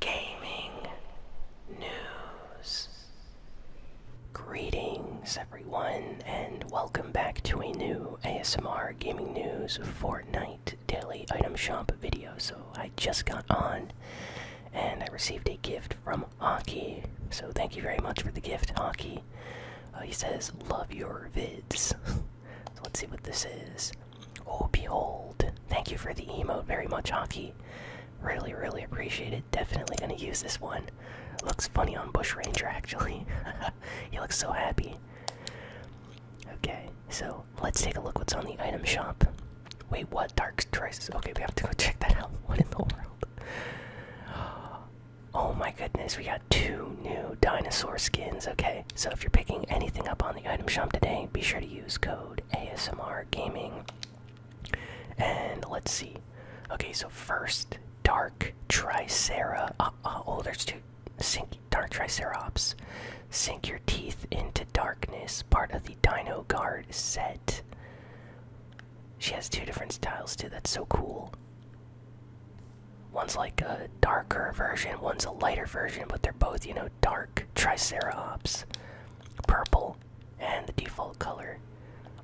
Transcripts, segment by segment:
gaming news. Greetings, everyone, and welcome back to a new ASMR Gaming News Fortnite Daily Item Shop video. So, I just got on and I received a gift from Hockey. So, thank you very much for the gift, Hockey. Uh, he says, Love your vids. so, let's see what this is. Oh, behold. Thank you for the emote very much, Hockey. Really, really appreciate it. Definitely gonna use this one. Looks funny on Bush Ranger, actually. he looks so happy. Okay, so let's take a look what's on the item shop. Wait, what? Dark Choices. Okay, we have to go check that out. What in the world? Oh my goodness, we got two new dinosaur skins. Okay, so if you're picking anything up on the item shop today, be sure to use code ASMR Gaming. And let's see. Okay, so first, Dark Tricera. Uh, uh, oh, dark Tricerops. Sink your teeth into darkness. Part of the Dino Guard set. She has two different styles too. That's so cool. One's like a darker version. One's a lighter version, but they're both, you know, dark. Dark Triceratops, purple, and the default color.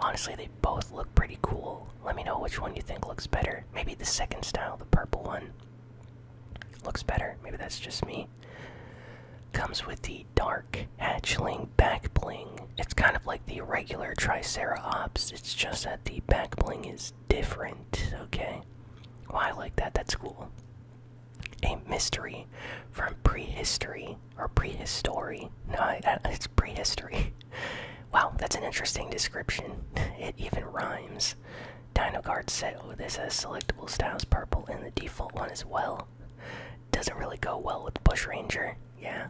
Honestly, they both look pretty cool. Let me know which one you think looks better. Maybe the second style, the purple one, looks better. Maybe that's just me. Comes with the dark hatchling back bling. It's kind of like the regular Triceratops, it's just that the back bling is different, okay? Well, I like that. That's cool. A mystery from prehistory or prehistory. No, it's prehistory. Wow, that's an interesting description. It even rhymes. Dino Guard set. Oh, this has selectable styles purple and the default one as well. Doesn't really go well with Bush Ranger, yeah.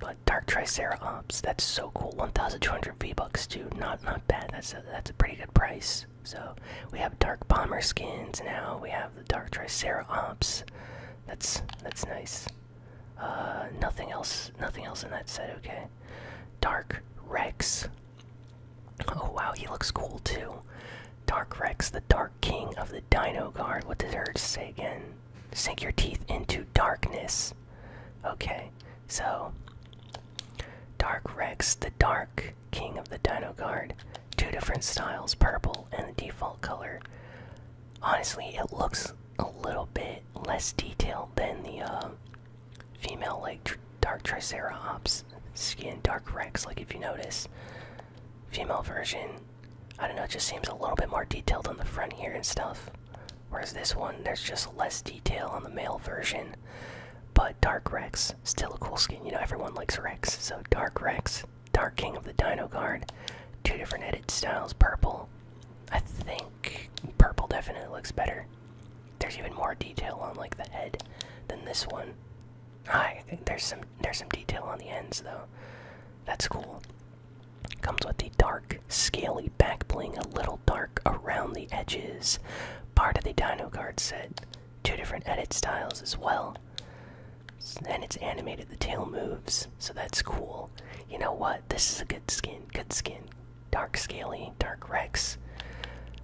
But Dark Triceratops, that's so cool. 1,200 V-Bucks, dude. Not not bad. That's a, that's a pretty good price. So we have dark bomber skins now. We have the dark triceratops. That's that's nice. Uh, nothing else. Nothing else in that set. Okay. Dark Rex. Oh wow, he looks cool too. Dark Rex, the Dark King of the Dino Guard. What did herds say again? Sink your teeth into darkness. Okay. So, Dark Rex, the Dark King of the Dino Guard. Two different styles, purple and the default color. Honestly, it looks a little bit less detailed than the uh, female, like tr Dark Triceratops skin, Dark Rex. Like, if you notice, female version, I don't know, it just seems a little bit more detailed on the front here and stuff. Whereas this one, there's just less detail on the male version. But Dark Rex, still a cool skin. You know, everyone likes Rex. So Dark Rex, Dark King of the Dino Guard. Two different edit styles. Purple. I think purple definitely looks better. There's even more detail on like the head than this one. Ah, I think there's some there's some detail on the ends though. That's cool. Comes with a dark, scaly back bling, a little dark around the edges. Part of the Dino Guard set. Two different edit styles as well. And it's animated, the tail moves, so that's cool. You know what? This is a good skin. Good skin. Dark Scaly, Dark Rex.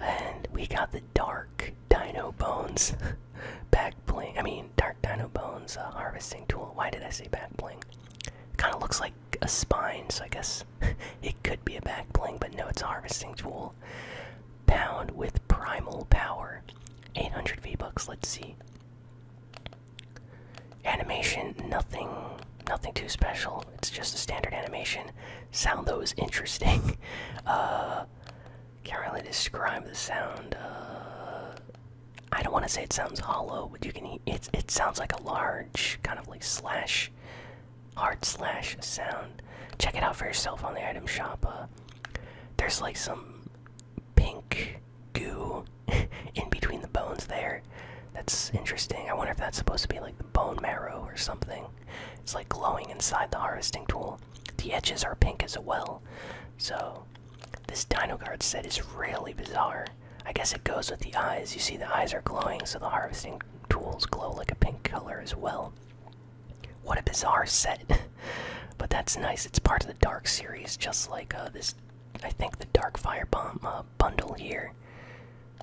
And we got the Dark Dino Bones back bling. I mean, Dark Dino Bones uh, harvesting tool. Why did I say back bling? Kind of looks like a spine, so I guess it could be a back bling, but no, it's a harvesting tool. Pound with primal power. 800 V-Bucks, let's see. Animation, nothing nothing too special. It's just a standard animation. Sound though is interesting. uh can't really describe the sound. Uh I don't want to say it sounds hollow, but you can. It it sounds like a large kind of like slash, heart slash sound. Check it out for yourself on the item shop. Uh, there's like some pink goo in between the bones there. That's interesting. I wonder if that's supposed to be like the bone marrow or something. It's like glowing inside the harvesting tool. The edges are pink as well. So this Dino Guard set is really bizarre. I guess it goes with the eyes. You see, the eyes are glowing, so the harvesting tools glow like a pink color as well. What a bizarre set! but that's nice. It's part of the Dark series, just like uh, this. I think the Dark Fire Bomb uh, bundle here.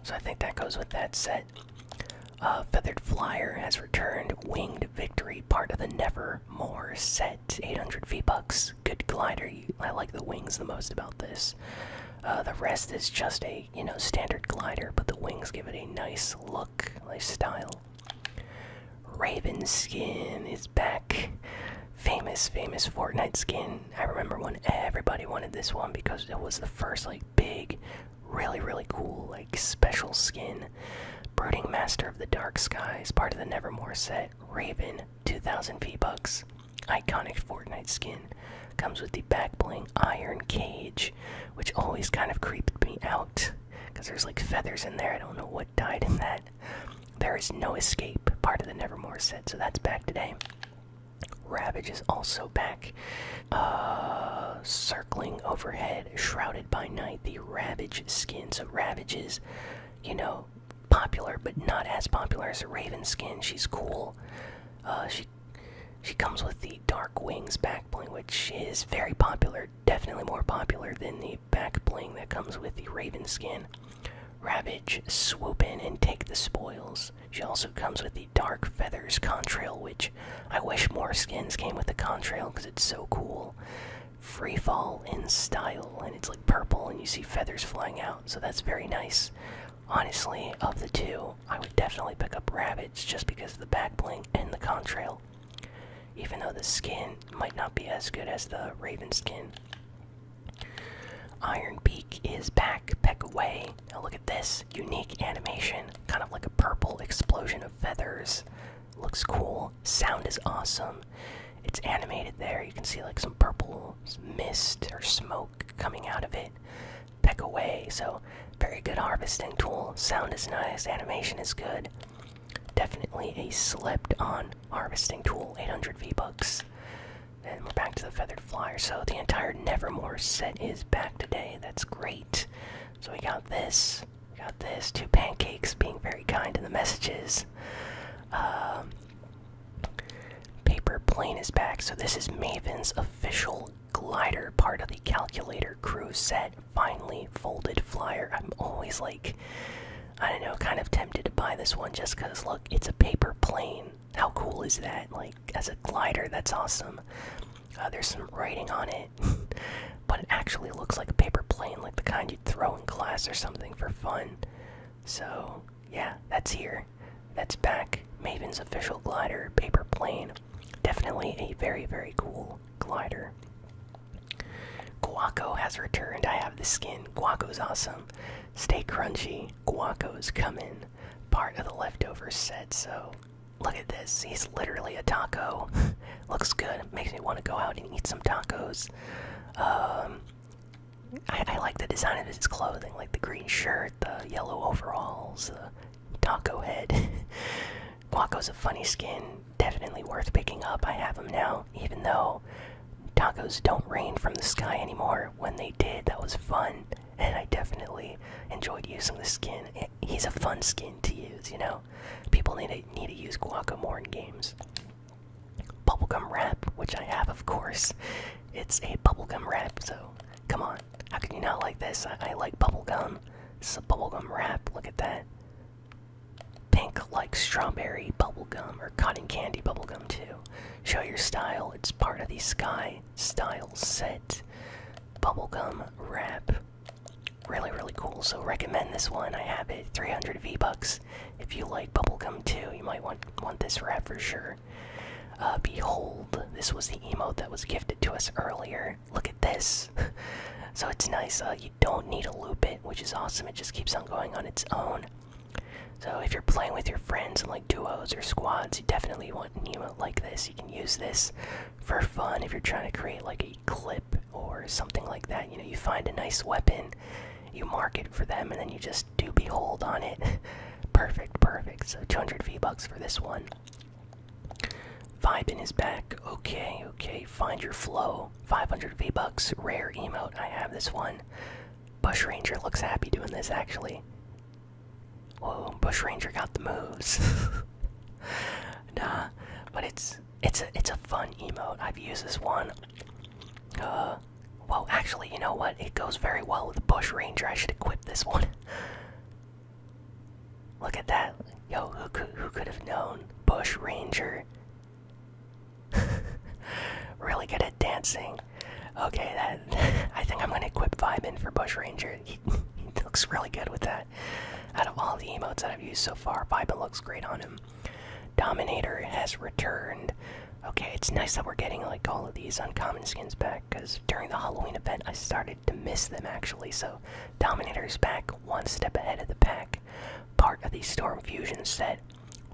So I think that goes with that set. Uh, Feathered Flyer has returned. Winged Victory, part of the Nevermore set. 800 V bucks good glider. I like the wings the most about this. Uh, the rest is just a you know standard glider, but the wings give it a nice look, lifestyle. Raven skin is back. Famous, famous Fortnite skin. I remember when everybody wanted this one because it was the first like big, really, really cool like special skin Brooding Master of the Dark Skies, part of the Nevermore set, Raven, 2000 V-Bucks, iconic Fortnite skin, comes with the back bling iron cage, which always kind of creeped me out, because there's like feathers in there, I don't know what died in that. There is no escape, part of the Nevermore set, so that's back today. Ravage is also back. Uh, circling overhead, shrouded by night, Ravage skin. So Ravages, you know, popular but not as popular as a Raven skin. She's cool. Uh, she she comes with the Dark Wings back bling, which is very popular. Definitely more popular than the back bling that comes with the Raven skin. Ravage, swoop in and take the spoils. She also comes with the Dark Feathers contrail, which I wish more skins came with the contrail because it's so cool free fall in style and it's like purple and you see feathers flying out so that's very nice honestly of the two i would definitely pick up rabbits just because of the back blink and the contrail even though the skin might not be as good as the raven skin iron beak is back peck away now look at this unique animation kind of like a purple explosion of feathers looks cool. Sound is awesome. It's animated there. You can see like some purple mist or smoke coming out of it. Peck away. So, very good harvesting tool. Sound is nice. Animation is good. Definitely a slipped on harvesting tool. 800 V bucks. And we're back to the feathered flyer. So, the entire Nevermore set is back today. That's great. So, we got this. Got this. Two pancakes being very kind in the messages. Um, paper plane is back. So this is Maven's official glider, part of the calculator crew set. Finally folded flyer. I'm always like, I don't know, kind of tempted to buy this one just because look, it's a paper plane. How cool is that? Like as a glider, that's awesome. Uh, there's some writing on it, but it actually looks like a paper plane, like the kind you'd throw in class or something for fun. So, yeah, that's here. That's back. Maven's official glider, paper plane. Definitely a very, very cool glider. Guaco has returned. I have the skin. Guaco's awesome. Stay crunchy. Guaco's coming. Part of the leftover set, so Look at this. He's literally a taco. Looks good. Makes me want to go out and eat some tacos. Um, I, like the design of his clothing, like the green shirt, the yellow overalls, the taco head. Guaco's a funny skin. Definitely worth picking up. I have him now, even though tacos don't rain from the sky anymore. When they did, that was fun, and I definitely enjoyed using the skin he's a fun skin to use, you know. People need to need to use Guaco in games. Bubblegum wrap, which I have, of course. It's a bubblegum wrap, so come on. How can you not like this? I, I like bubblegum. This is a bubblegum wrap. Look at that. Pink like strawberry bubblegum or cotton candy bubblegum, too. Show your style. It's part of the Sky Style set bubblegum wrap. Really, really cool. So recommend this one. I have it. 300 V bucks. If you like bubblegum too, you might want want this wrap for sure. Uh, behold, this was the emote that was gifted to us earlier. Look at this. so it's nice. Uh, you don't need to loop it, which is awesome. It just keeps on going on its own. So if you're playing with your friends in like duos or squads, you definitely want an emote like this. You use this for fun if you're trying to create like a clip or something like that. You know, you find a nice weapon, you mark it for them, and then you just do behold on it. perfect, perfect. So 200 V bucks for this one. Vibe in his back. Okay, okay. Find your flow. 500 V bucks. Rare emote. I have this one. Bush Ranger looks happy doing this actually. Whoa, oh, Bush Ranger got the moves. nah, but it's it's a it's a fun emote. I've used this one. Uh, well, actually, you know what? It goes very well with the Bush Ranger. I should equip this one. Look at that, yo! Who could who could have known Bush Ranger? really good at dancing. Okay, that I think I'm gonna equip Vibin for Bush Ranger. He, looks really good with that. Out of all the emotes that I've used so far, Vibin looks great on him. Dominator has returned. Okay, it's nice that we're getting like all of these uncommon skins back because during the Halloween event I started to miss them actually. So Dominator's back, one step ahead of the pack. Part of the Storm Fusion set.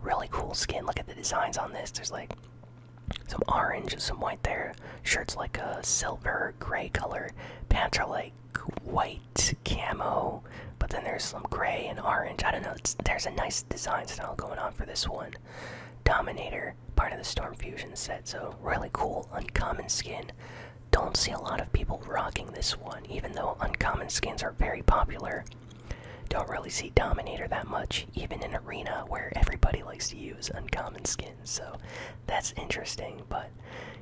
Really cool skin. Look at the designs on this. There's like some orange, some white there. Shirts like a silver gray color. Pants are like white camo, but then there's some gray and orange. I don't know. there's a nice design style going on for this one. Dominator, part of the Storm Fusion set, so really cool, uncommon skin. Don't see a lot of people rocking this one, even though uncommon skins are very popular. Don't really see Dominator that much, even in Arena where everybody likes to use uncommon skins, so that's interesting. But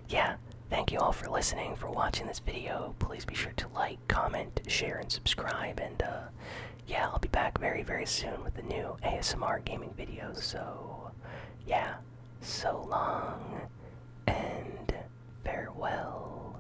yeah, thank you all for listening, for watching this video. Please be sure to like, comment, share, and subscribe. And uh, yeah, I'll be back very, very soon with the new ASMR gaming video. So yeah, so long and farewell.